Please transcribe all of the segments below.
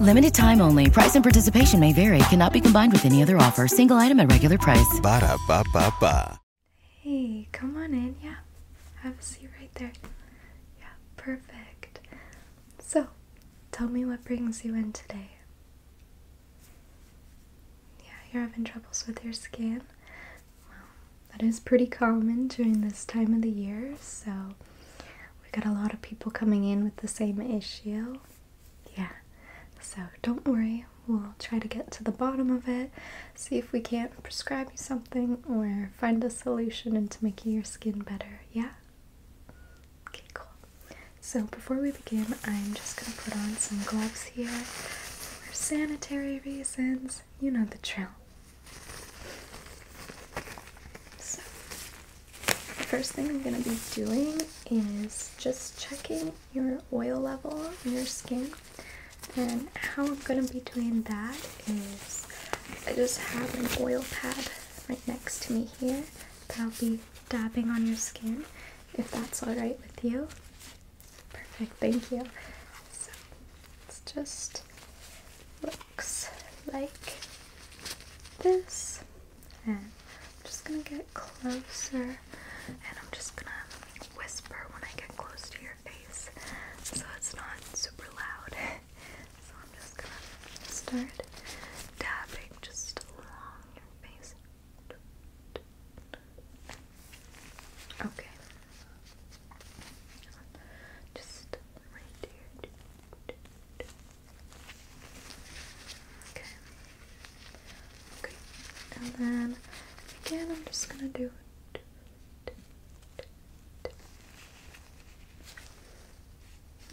Limited time only. Price and participation may vary. Cannot be combined with any other offer. Single item at regular price. Ba da ba ba ba. Hey, come on in. Yeah, have a seat right there. Yeah, perfect. So, tell me what brings you in today. Yeah, you're having troubles with your skin. Well, that is pretty common during this time of the year. So, we got a lot of people coming in with the same issue. Yeah, so don't worry, we'll try to get to the bottom of it, see if we can't prescribe you something or find a solution into making your skin better. Yeah? Okay, cool. So before we begin, I'm just gonna put on some gloves here for sanitary reasons. You know the drill. So the First thing I'm going to be doing is just checking your oil level in your skin. And how I'm going to be doing that is I just have an oil pad right next to me here that I'll be dabbing on your skin if that's alright with you. Perfect, thank you. So it's just looks like this. And I'm just gonna get closer and I'm just gonna whisper when I get close to your face so it's not super loud. so I'm just gonna start dabbing just along your face. Okay. Just right here. Okay. And then again, I'm just gonna do it.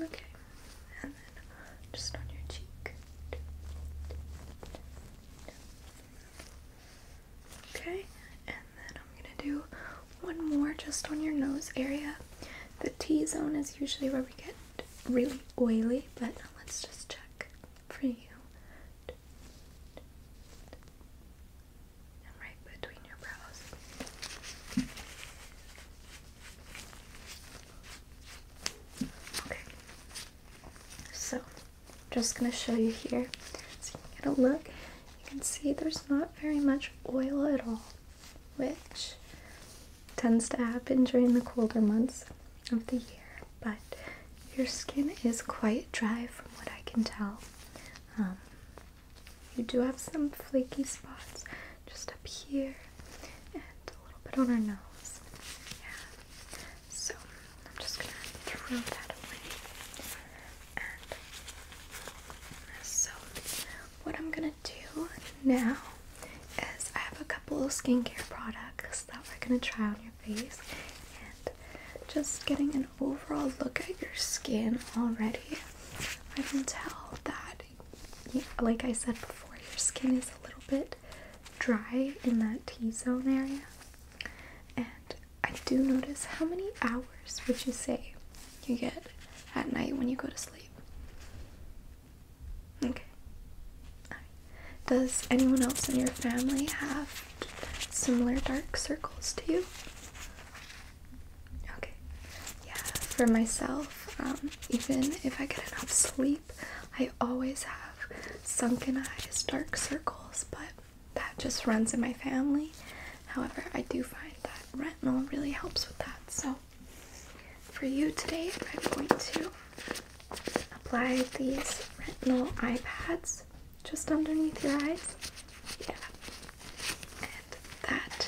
Okay. And then just on your cheek. Okay. And then I'm gonna do one more just on your nose area. The T zone is usually where we get really oily, but let's just check for you. And right between your brows. Okay. So, just gonna show you here. So you can get a look. You can see there's not very much oil at all which tends to happen during the colder months of the year. But your skin is quite dry from what I can tell. Um, you do have some flaky spots just up here and a little bit on our nose. Yeah. So I'm just gonna throw that away. And so what I'm gonna do now is I have a couple of skincare products that we're gonna try on your face and just getting an overall look at your skin already. I can tell that, like I said before, your skin is a little bit dry in that T zone area. And I do notice how many hours would you say you get at night when you go to sleep? Okay. Does anyone else in your family have similar dark circles to you? Okay. Yeah, for myself, um, even if I get enough sleep, I always have sunken eyes, dark circles, but that just runs in my family. However, I do find that retinol really helps with that, so for you today, I'm going to apply these retinal eye pads just underneath your eyes. Yeah. And that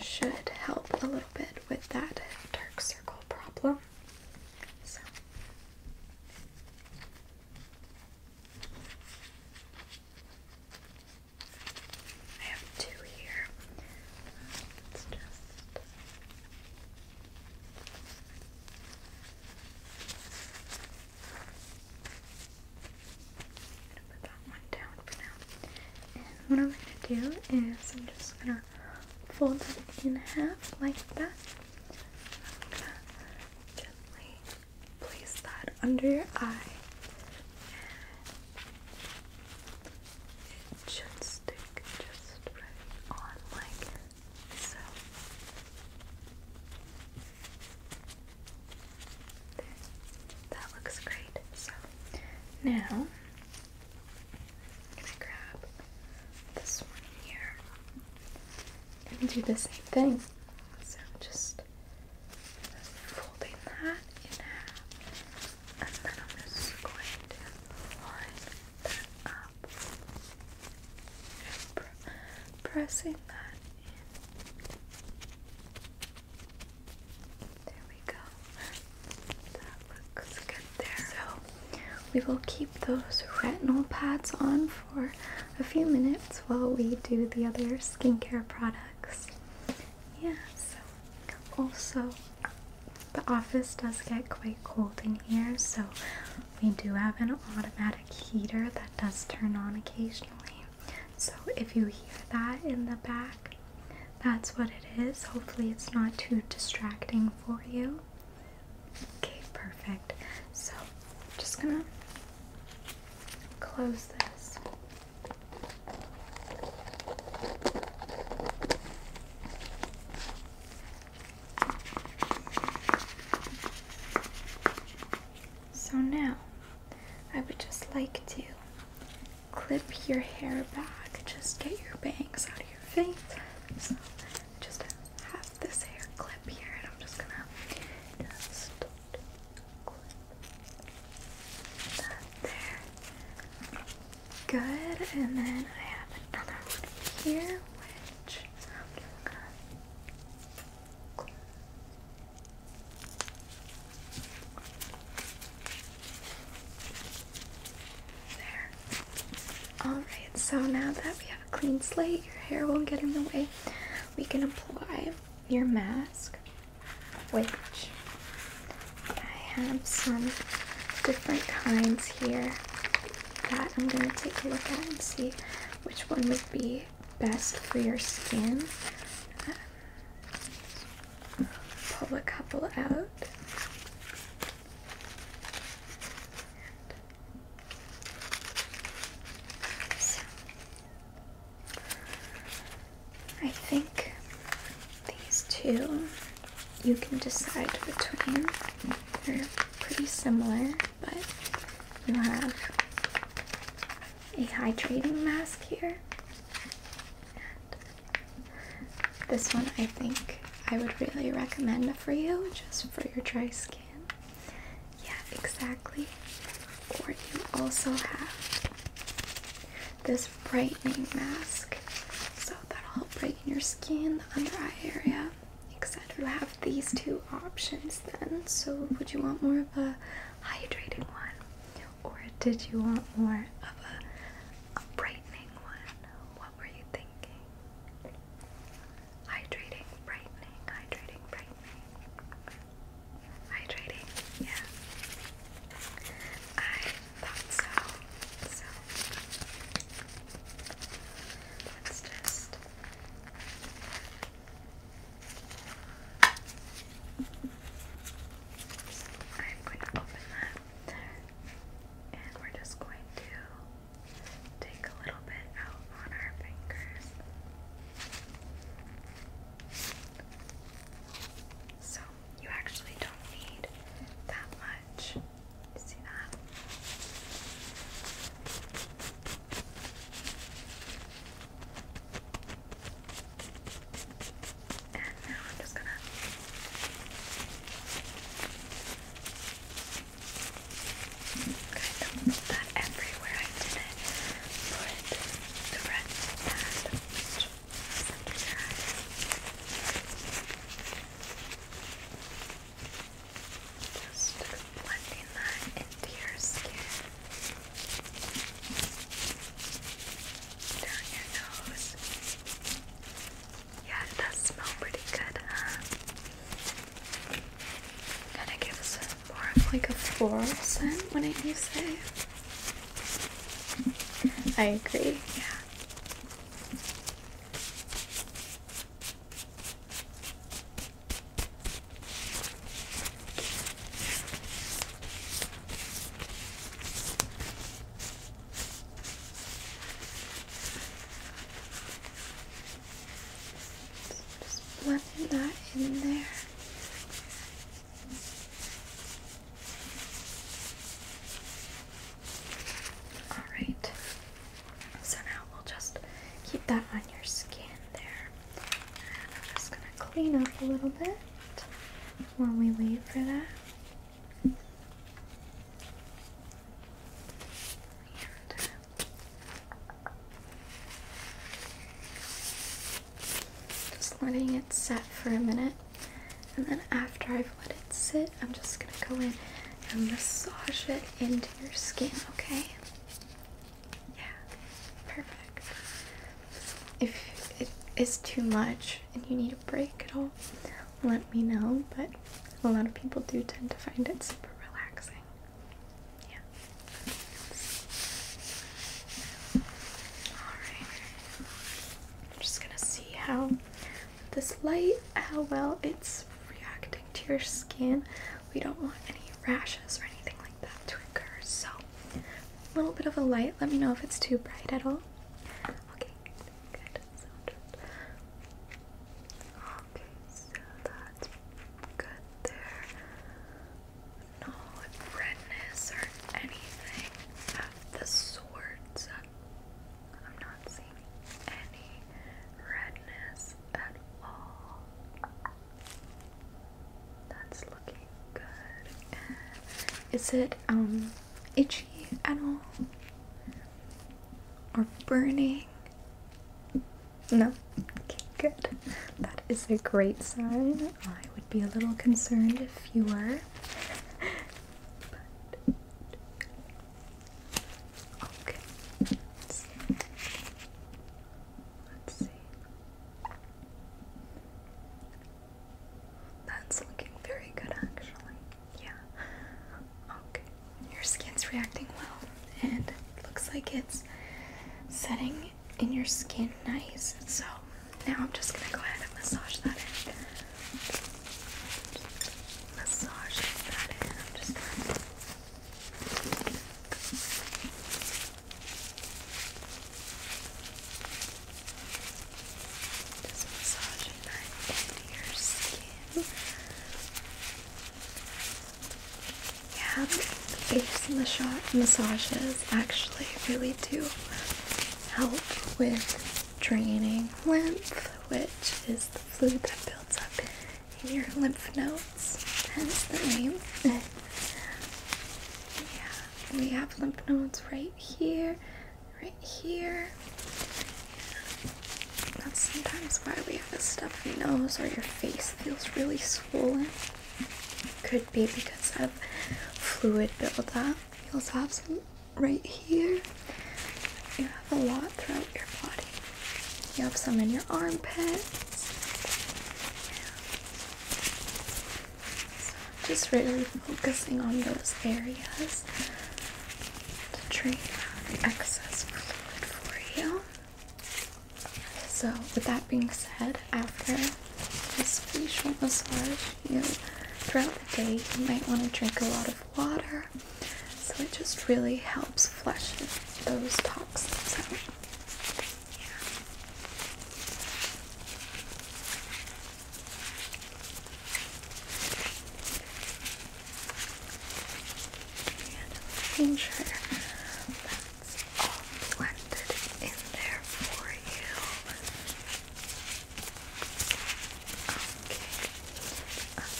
should help a little bit with that dark circle problem. So. I have two here. Let's just. put that one down for now. And what I'm gonna do is I'm just gonna fold it in half like that. I'm gently place that under your eye. It should stick just right on like so. That looks great. So now I'm gonna grab this one here and do the same thing. So just folding that in half, and then I'm just going to line that up, pressing that in. There we go. That looks good there. So we will keep those retinal pads on for a few minutes while we do the other skincare products. Yeah, so also the office does get quite cold in here, so we do have an automatic heater that does turn on occasionally. So if you hear that in the back, that's what it is. Hopefully, it's not too distracting for you. Okay, perfect. So, just gonna close this. So now I would just like to clip your hair back, just get your bangs out of your face. just have this hair clip here, and I'm just gonna just Good, and then I have another one here, which There. Alright, so now that we have a clean slate, your hair won't get in the way. We can apply your mask, which I have some different kinds here that I'm going to take a look at and see which one would be best for your skin. pull a couple out. I think these two you can decide between. They're pretty similar, but you have a hydrating mask here. And this one I think I would really recommend for you just for your dry skin. Yeah, exactly. Or you also have this brightening mask. So that'll help brighten your skin, the under eye area, etc. You have these two options then. So would you want more of a hydrating one? Or did you want more of a brightening one? What were you thinking? Hydrating, brightening, hydrating, brightening. Hydrating, yeah. I thought so. So let's just I'm going to open that And we're just going to take a little bit out on our fingers. So you actually don't need that much. see that? And now I'm just gonna Kind of that everywhere I did it. Put the red Just blending that into your skin. Down your nose. Yeah, it does pretty good, huh? kind of gives it more of like a floral scent when I use it. I agree, yeah. Just blending that in there. Alright, so now we'll just keep that on your skin there. I'm just going to clean up a little bit while we wait for that. And just letting it set for a minute, and then after I've let it sit, I'm just gonna go in and massage it into your skin, okay? Yeah, perfect. If it is too much and you need a break at all, let me know, but a lot of people do tend to find it super relaxing. Yeah. Alright. I'm just gonna see how this light, how well it's reacting to your skin. We don't want any rashes or anything like that to occur, so a little bit of a light. Let me know if it's too bright at all. Okay, good. Okay, so that's good there. No redness or anything of the sort. I'm not seeing any redness at all. That's looking good. is it um itchy at all? Or burning no? Okay, good. That is a great sign. I would be a little concerned if you were. okay. Let's see. That's looking very good, actually. Yeah. Okay your skin's reacting well and it looks like it's setting in your skin nice. So now I'm just gonna go ahead and massage that in. Massage that in. I'm just gonna just massaging that into your skin. Yeah, face and the shot massages actually really do help with draining lymph, which is the fluid that builds up in your lymph nodes, hence the name. yeah, we have lymph nodes right here, right here, that's sometimes why we have a stuffy nose or your face feels really swollen. Could be because of fluid buildup. You'll have some right here. You have a lot throughout your body. You have some in your armpits. Yeah. So just really focusing on those areas to drain out excess fluid for you. So, with that being said, after this facial massage, you throughout the day you might want to drink a lot of water. So it just really helps flush those toxins out. Yeah. And all blended in there for you. Okay. Um,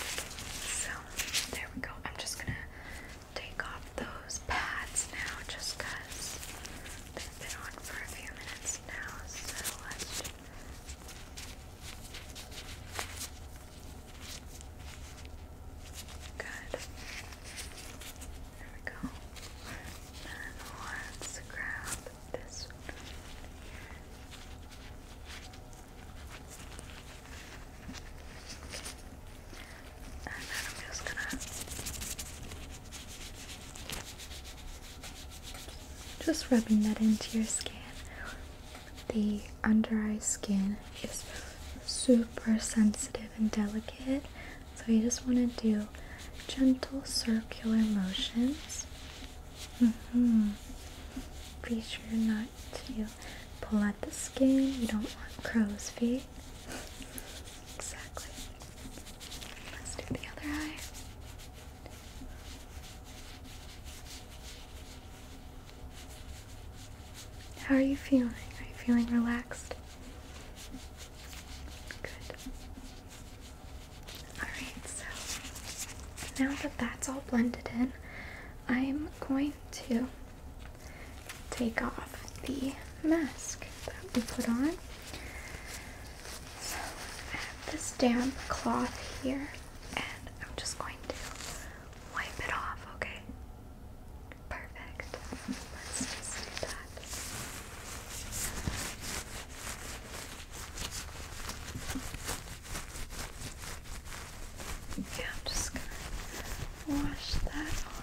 so there we go. I'm just gonna take off those pads now just because they've been on for a few minutes now. So let's Good. There we go. And let's grab this And then I'm just gonna just rubbing that into your skin. The under eye skin is super sensitive and delicate, so you just want to do gentle circular motions. Mm -hmm. Be sure not to pull at the skin, you don't want crow's feet. Exactly. Let's do the other eye. How are you feeling? Are you feeling relaxed? Good. Alright, so now that that's all blended in, I'm going to take off the mask that we put on. So I have this damp cloth here and I'm just going to wipe it off, okay? Perfect. Let's just do that. Okay, just gonna wash that off.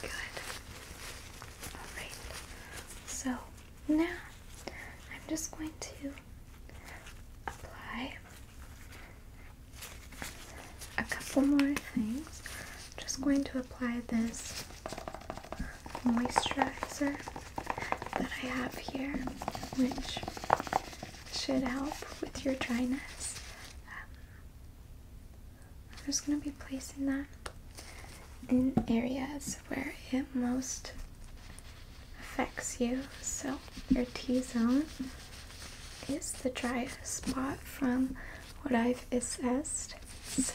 Good. Alright. So now I'm just going to apply a couple more things. just going to apply this moisturizer that I have here, which should help with your dryness um, I'm just gonna be placing that in areas where it most affects you. So your T-zone is the driest spot from what I've assessed. So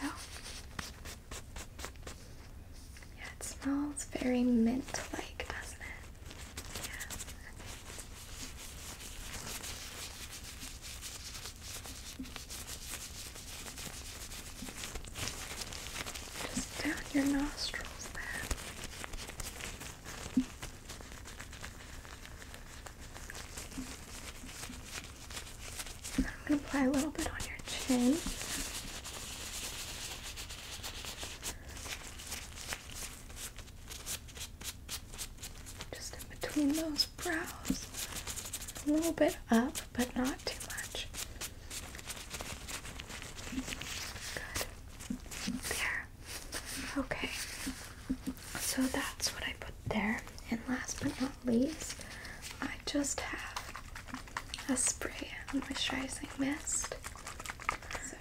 yeah, it smells very mint-like, doesn't it? Just down your nostrils there. I'm going to apply a little bit on your chin. Just in between those brows. A little bit up, but not too much. Good. There. Okay. So that's what I put there. And last but not least, I just have a spray moisturizing mist. So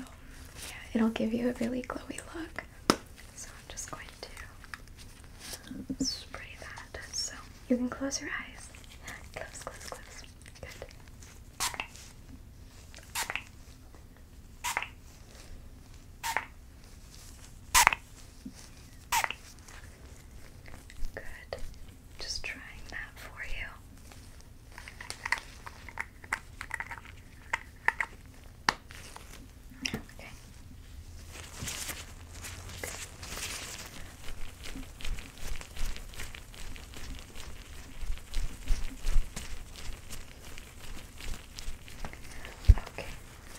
yeah, it'll give you a really glowy look. So I'm just going to spray that. So you can close your eyes. Close, close, close. Good. Good. Just trying that for you. Okay. okay.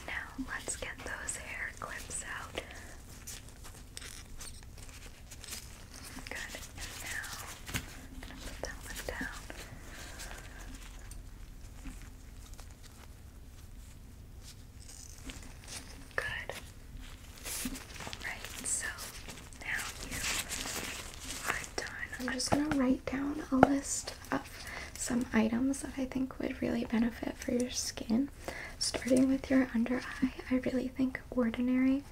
now let's get those hair clips out. Good. And I'm gonna down. Good. Alright, so now you are done. I'm just gonna write down a list of some items that I think would really benefit for your skin. Starting with your under eye, I really think Ordinary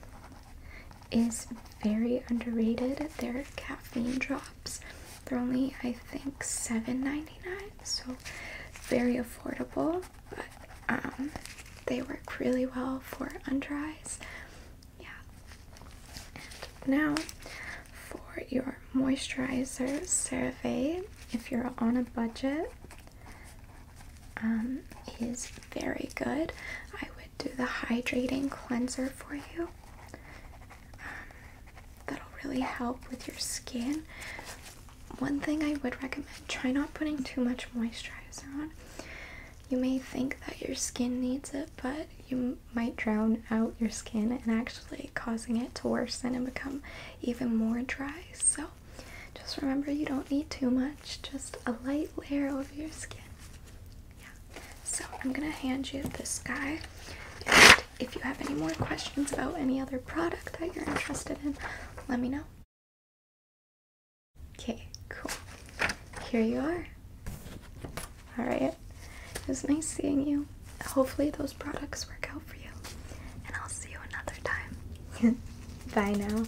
is very underrated. Their caffeine drops. They're only I think $7.99, so very affordable. But um, they work really well for under eyes. Yeah. And now for your moisturizer survey, if you're on a budget, um, is very good. I would do the hydrating cleanser for you. Um, that'll really help with your skin. One thing I would recommend try not putting too much moisturizer on. You may think that your skin needs it, but you might drown out your skin and actually causing it to worsen and become even more dry. So just remember you don't need too much, just a light layer over your skin. Yeah. So I'm gonna hand you this guy. And if you have any more questions about any other product that you're interested in, let me know. Okay, cool. Here you are. Alright. It was nice seeing you. Hopefully those products work out for you. And I'll see you another time. Bye now.